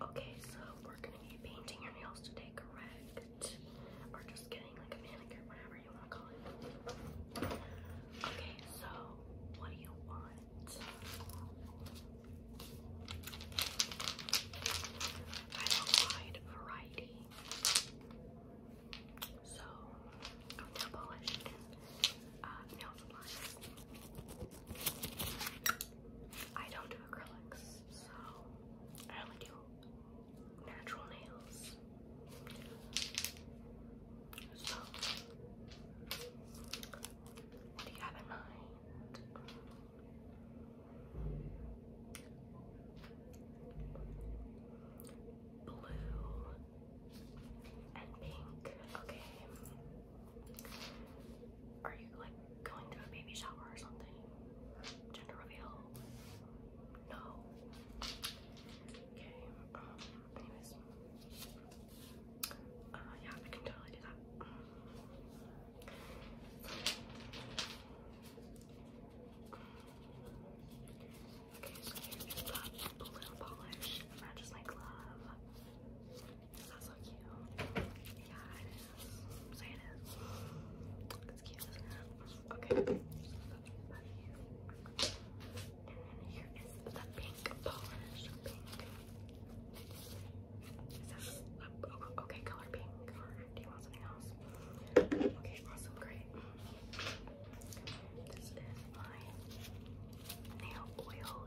Okay, so we're gonna be painting your nails today, correct? Or just getting like a manicure, whatever you wanna call it. Okay, so what do you want? wide variety. So, nail polish uh, nail supplies. I don't do acrylics, so I only do natural nails. So, do you have in mind? Blue and pink. Okay. Are you like going to a baby shower or something? Gender reveal? No. Okay, um, anyways. Uh, yeah, I can totally do that. Okay, so here's just that blue polish matches my glove. That's so cute. Yeah, it is. Say it is. It's cute, isn't it? Okay. and then here is the pink polish. Pink. Is okay color pink do you want something else? Okay, awesome, great. This is my nail oil.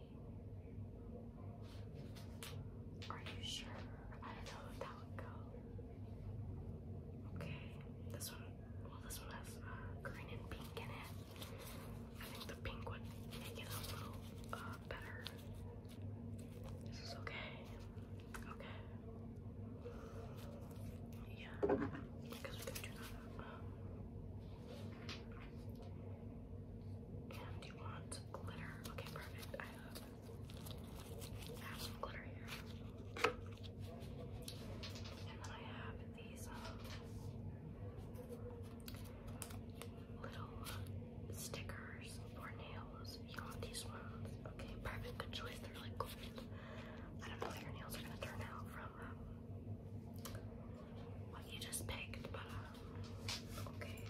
Are you sure? I don't know if that would go. Okay, this one, well this one has uh, green and pink in it. I think the pink would make it a little uh, better. This is okay. Okay. Yeah, and you want glitter. Okay, perfect. I have, some glitter here. And then I have these um, little stickers for nails. You want these ones? Okay, perfect. Good choice. They're really cool. I don't know how your nails are gonna turn out from um, what you just picked, but uh, okay,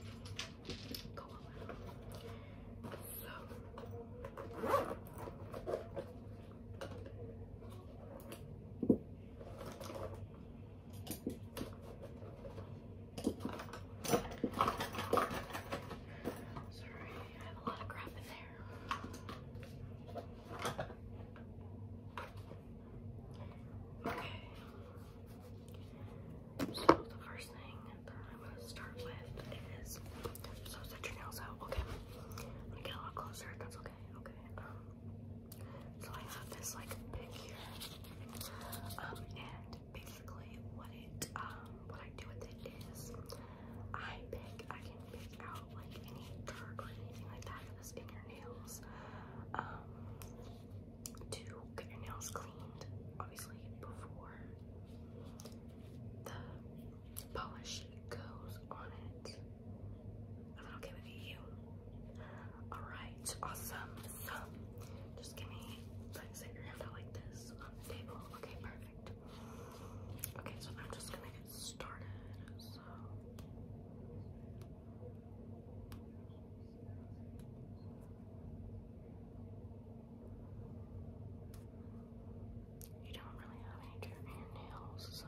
So, sorry, I have a lot of crap in there. So the first thing that I'm going to start with is, so set your nails out, okay? I'm get a lot closer, that's okay, okay. Um, so I have this like pick here, um, and basically what it, um, what I do with it is, I pick, I can pick take out like any dirt or anything like that that in your nails. Um, to get your nails cleaned, obviously, before the polish goes on it. that okay with you? Alright, awesome. So, just give me, like, set your hand like this on the table. Okay, perfect. Okay, so I'm just gonna get started. So you don't really have any dirt your nails, so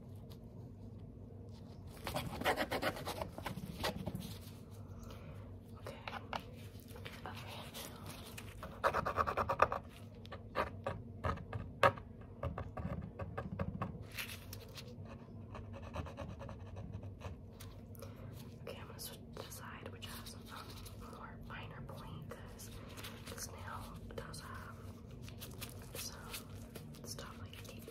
Okay, I'm gonna decide which has um, more finer point because this nail does have some stuff like deep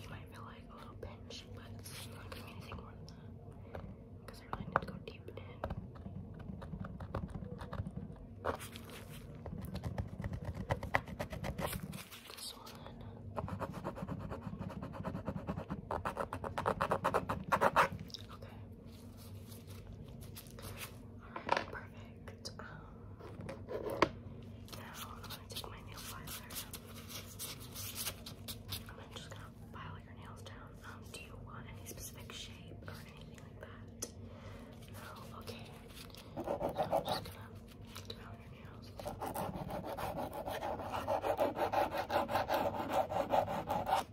you might feel like a little pinch, but it's not gonna anything more than that. Because I really need go deep in. This one. Okay perfect. Um, now I'm gonna take my nail filer. I'm just gonna file your nails down. Um, do you want any specific shape or anything like that? No, okay. So I'm just gonna do out your nails.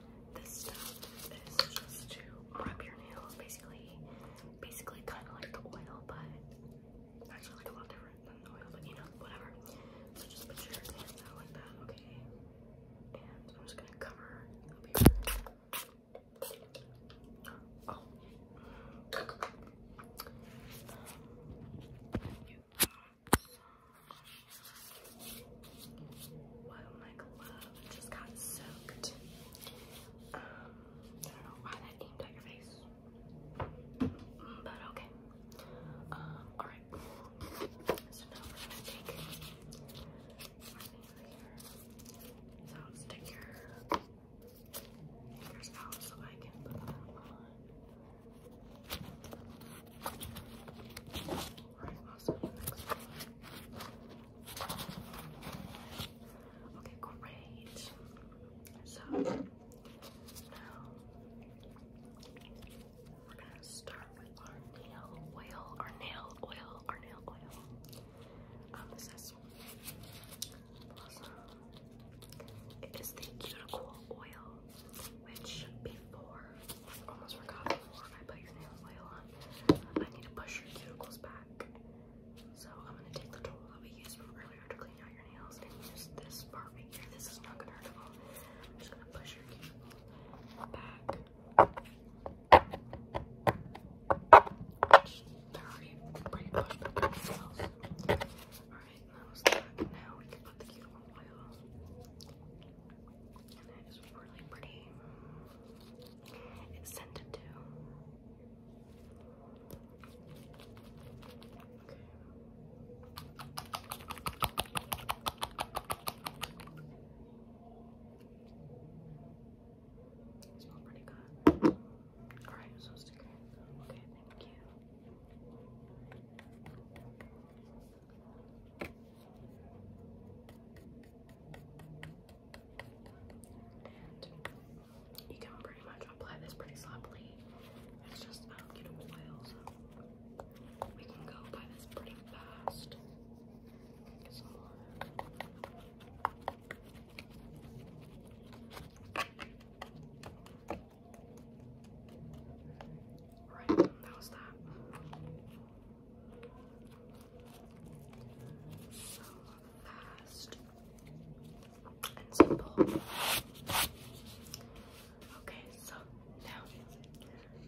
This stuff is just to rub your nails, basically, basically kind of like the oil, but actually like a lot different than the oil, but you know, whatever. So just put your hands out like that, okay? And I'm just gonna cover up here. Oh. Um, you got Wow, my glove just got soaked. Um, I don't know why that aimed at your face. But okay. Um, alright. So now we're gonna take my finger here. So I'll stick your fingers out so I can put them on. Alright, also Okay, great. So now we're gonna start with our nail oil, our nail oil, our nail oil. Um, this is Blossom. It is the cuticle oil, which before I almost forgot before I put your nail oil I need to push your cuticles back. So I'm going to take the tool that we used from earlier to clean out your nails and use this part right This is not going to hurt at all. I'm just going to push your cuticles back. Which they're already pretty Alright, Now we can put the cuticle oil it is really pretty. It's scented too. smells pretty good. Alright, so stick Okay, thank you. And you can pretty much apply this pretty sloppily. It's just um, you know oil, we can go apply this pretty fast. Get that was that fast and simple. Okay, so now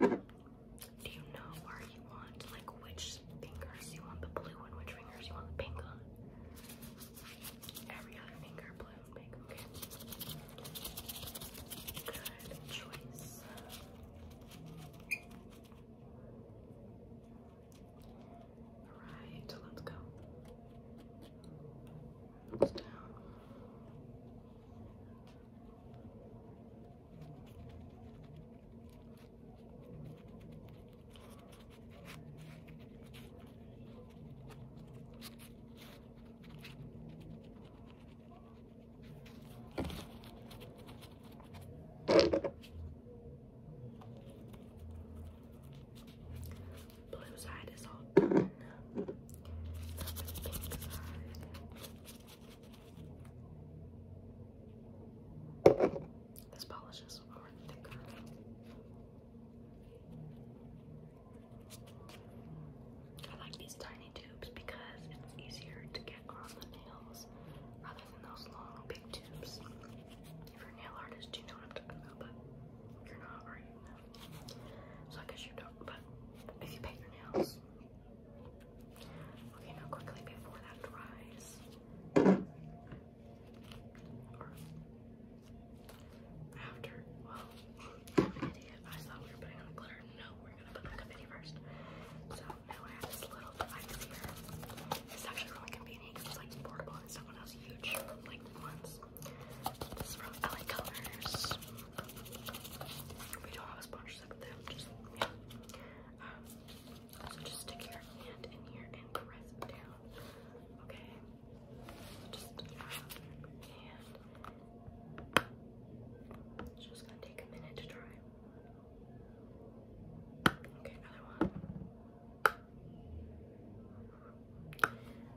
do you know where you want, like which fingers you want the blue and which fingers you want the pink on? Every other finger, blue pink, good choice. let's go. down. Blue side is all done. This polish is more thicker. I like these tiny tubes because it's easier to get on the nails rather than those long, big tubes. If you're a nail artist, do you know what I'm talking about, you're not, are you? So I guess you don't, but if you paint your nails. Okay, now quickly before that dries after. Well, I'm thought we were putting on glitter. No, we're gonna put makeup in first. So now I have this little It's actually really convenient because it's like portable and it's not huge like ones. This is Colors. We don't have a sponsorship them, just um, so just stick your hand in here and press down. Okay. Uh, it's just gonna take a minute to dry. Okay, another one.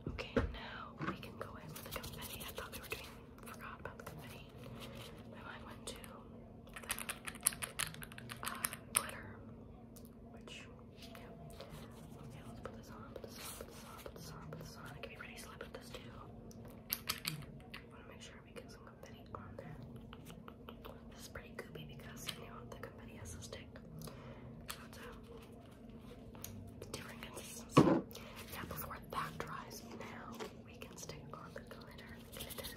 Okay, now we can go in with the confetti. I thought we were doing, forgot about the confetti. My mind went to uh, glitter, which, Okay, let's put this on, put this on, put this on, put this on, put this on. Get me ready, I put this too. want to make sure we get some confetti on there. This is pretty goopy because you know the confetti has a stick. So different consistency. Now before that dries, now we can stick on the glitter. Glitter.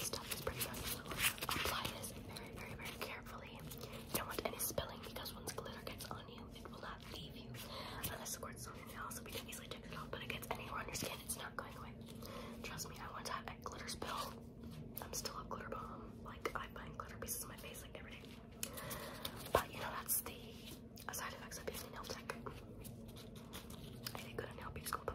stuff is pretty much Apply this very, very, very carefully. You don't want any spilling because once glitter gets on you, it will not leave you. Unless, of course, it's on so we can easily take it off, but it gets anywhere on your skin, it's not going away. Trust me, I once had a glitter spill. I'm still a glitter bomb. Like, I find glitter pieces on my face, like, every day. But, you know, that's the side effects of being nail tech. I did go nail beauty school, by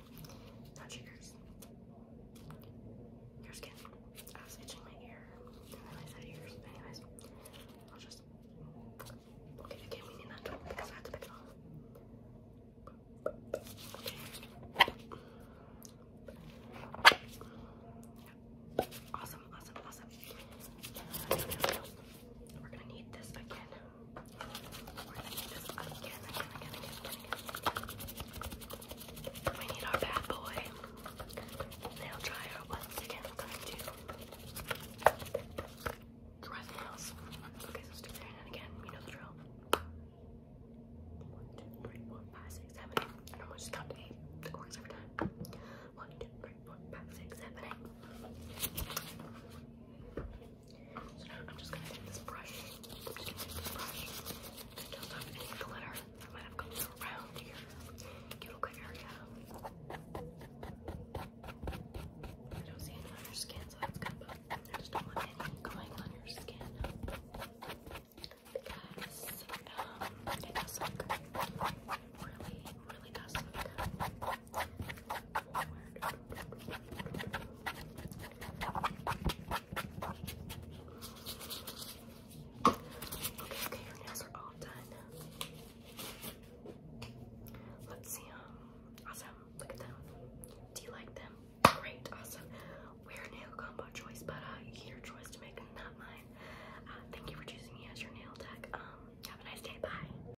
Not yours. Your skin. I was itching my ear, and then I said yours. Anyways, I'll just. Okay, okay, we need that because I had to pick it off. Awesome, awesome, awesome. We're gonna need this again. We're gonna do this again, again, again, again, again, again. We need our bad boy nail dryer once again. I'm going to dry the nails. Okay, so stick your hand again. You know the drill. One, two, three, four, five, six, seven, eight. I don't want to just count to eight. It works every time. One, two, three, four, five, six, seven, eight. So now I'm just gonna take this brush. I'm just gonna take this brush and just have any glitter that might have come around your cuticle area. I don't see any on your skin, so that's good, but I just don't want anything going on your skin. Because um, it does look really, really does look Okay, okay, your nails are all done. Let's see them. awesome. Look at them. Do you like them? Great. Awesome. We're nail combo choice, but uh, your choice to make, not mine. Uh, thank you for choosing me as your nail tech. Um, have a nice day. Bye.